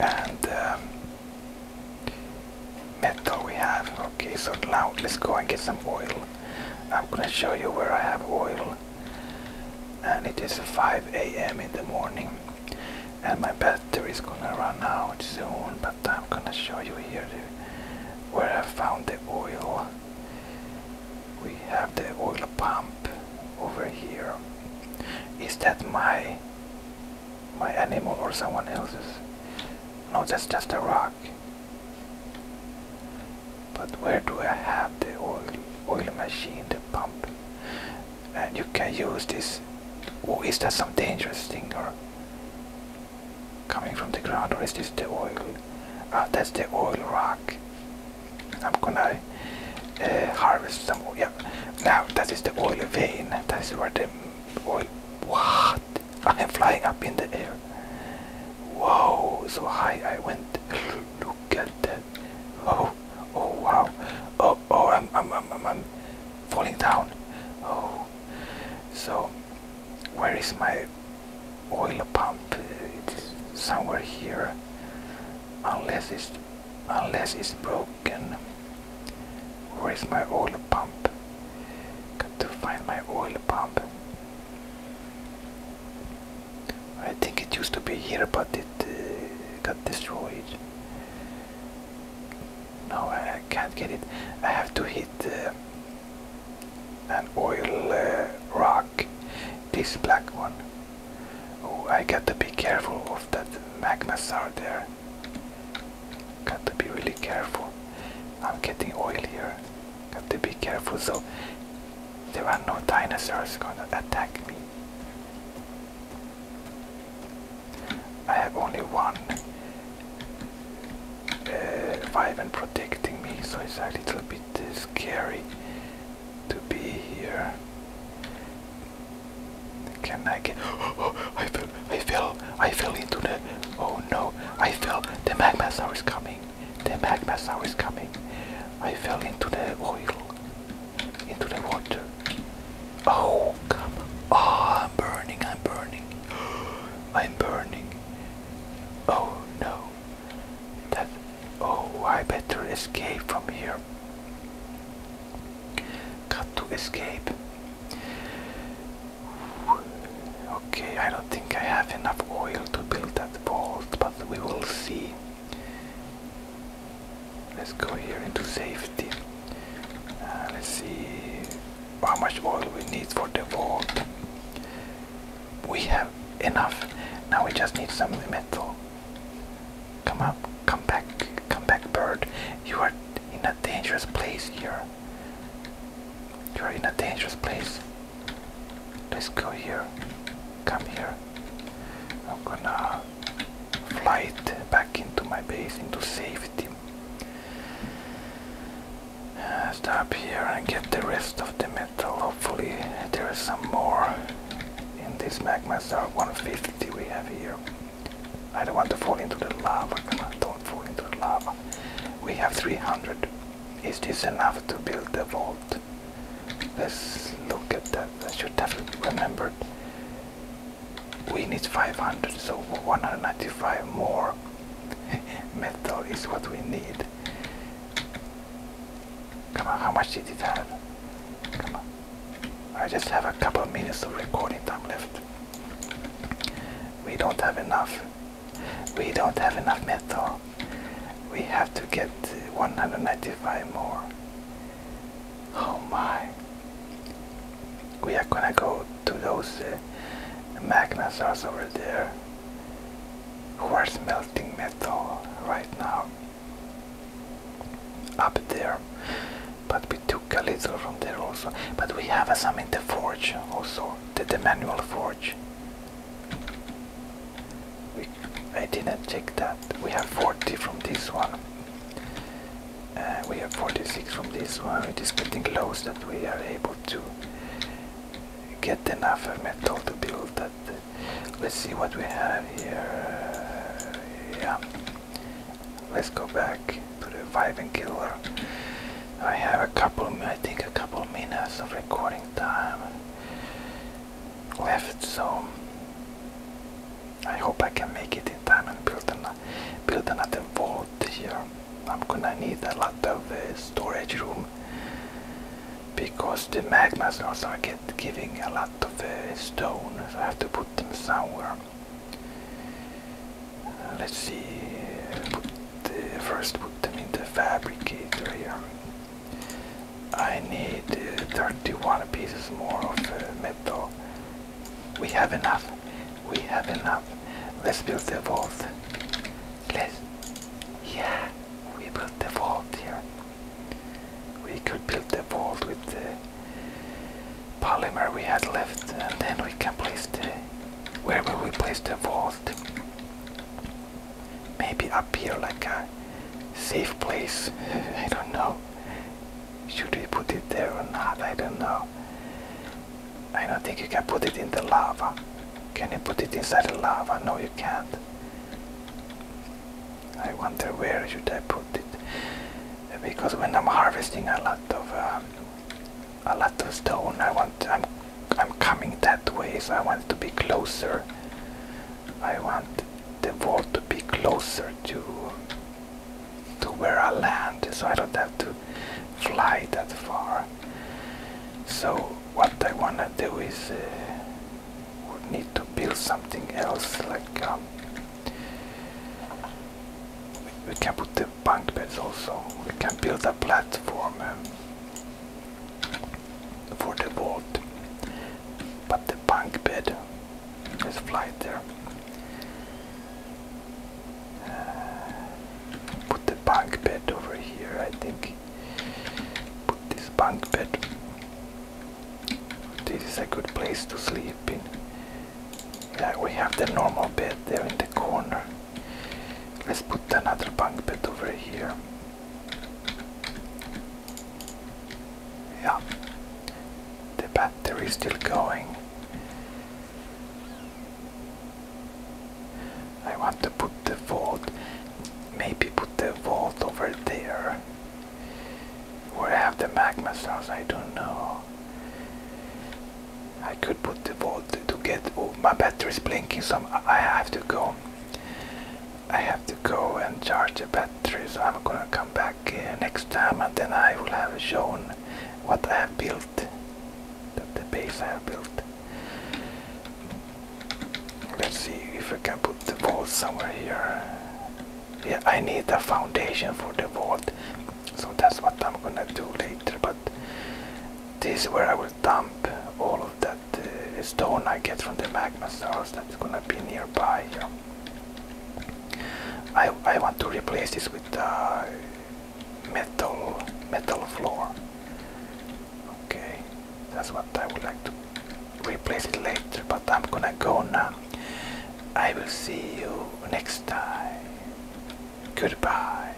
And um, metal we have. Okay, so now let's go and get some oil. I'm gonna show you where I have oil. And it is 5 a.m. in the morning. And my battery is gonna run out soon, but I'm gonna show you here where I found the oil. We have the oil pump over here. Is that my my animal or someone else's? No, that's just a rock. But where do I have the oil, oil machine, the pump? And you can use this. Oh, is that some dangerous thing or coming from the ground or is this the oil? Ah, that's the oil rock. I'm gonna uh, harvest some oil. Yeah. Now, that is the oil vein. That's where the oil... What? I am flying up in the air. Whoa, so high I went. [LAUGHS] Look at that. Oh, oh wow. Oh, oh, I'm, I'm, I'm, I'm falling down. Oh, so where is my oil pump? It's somewhere here. Unless it's, unless it's broken. Where is my oil pump? Got to find my oil pump. I think it used to be here, but it uh, got destroyed. Now I can't get it. I have to hit uh, an oil uh, rock, this black one. Oh, I got to be careful of that magma star there. Got to be really careful. I'm getting oilier. Got to be careful so there are no dinosaurs gonna attack me. I have only one five uh, and protecting me, so it's a little bit uh, scary to be here. Can I get? [GASPS] I fell! I fell! I oh, fell into the. Oh no! I fell. The magma is coming. The magma is coming. I fell into the oil. Into the water. Oh come! Oh, I'm burning! I'm burning! [GASPS] I'm burning! Oh no! That. Oh, I better escape from here. Got to escape. Okay, I don't think I have enough oil to build that vault, but we will see. Let's go here into safety. Uh, let's see how much oil we need for the vault. We have enough. Now we just need some metal. Come up, come back, come back, bird. You are in a dangerous place here. You're in a dangerous place. Let's go here. Come here. I'm gonna fly it back into my base, into safety. Uh, stop here and get the rest of the metal. Hopefully, there is some more in this magma star 150 we have here. I don't want to fall into the lava. don't fall into the lava. We have 300. Is this enough to build the vault? Let's look at that. I should have remembered. We need 500, so 195 more [LAUGHS] metal is what we need. Come on, how much did it have? Come on. I just have a couple minutes of recording time left. We don't have enough. We don't have enough metal. We have to get 195 more. Oh my. We are gonna go to those uh, magnasaurs over there who are smelting metal right now up there but we took a little from there also but we have uh, some in the forge also did the manual forge? I didn't check that. We have 40 from this one. Uh, we have 46 from this one. It is getting close that we are able to get enough metal to build that. Let's see what we have here. Uh, yeah. Let's go back to the Vibe and Killer. I have a couple, I think a couple minutes of recording time left, so I hope I can make it in time and build, an, build another vault here. I'm gonna need a lot of uh, storage room because the magma slots are giving a lot of uh, stone, so I have to put them somewhere. let's see, first put them in the fabricator here. I need 31 pieces more of uh, metal. We have enough. We have enough. Let's build the vault. Let's. Yeah, we built the vault here. We could build the vault with the polymer we had left, and then we can place the. wherever we place the vault? Maybe up here like a safe place. [LAUGHS] I don't know. Should we put it there or not? I don't know. I don't think you can put it in the lava. Can you put it inside the lava? No, you can't. I wonder where should I put it because when I'm harvesting a lot of um, a lot of stone. I want I'm I'm coming that way, so I want to be closer. I want the wall to be closer to to where I land, so I don't have to fly that far. So what I wanna do is uh, need to build something else, like um, we, can put the bunk beds also. We can build a platform. Um, for the vault. But the bunk bed is flight there. Uh, put the bunk bed over here, I think. Put this bunk bed. This is a good place to sleep in. Yeah, we have the normal bed there in the corner. Let's put another bunk bed over here. Yeah, the battery is still going. I want to put the vault, maybe put the vault over there. Where have the magma stars, I don't know. I could put the ball to, get. Oh, my battery's blinking, so i have to go. I have to go and charge the battery, so I'm gonna come back uh, next time, and then I will have shown what I have built, the, the base I have built. Let's see if I can put the vault somewhere here. Yeah, I need a foundation for the vault, so that's what I'm gonna do later. But this is where I will dump all of that uh, stone I get from the magma source that's gonna be nearby I, I want to replace this with uh, metal metal floor. Okay, that's what I would like to replace it later, but I'm gonna go now. I will see you next time. Goodbye.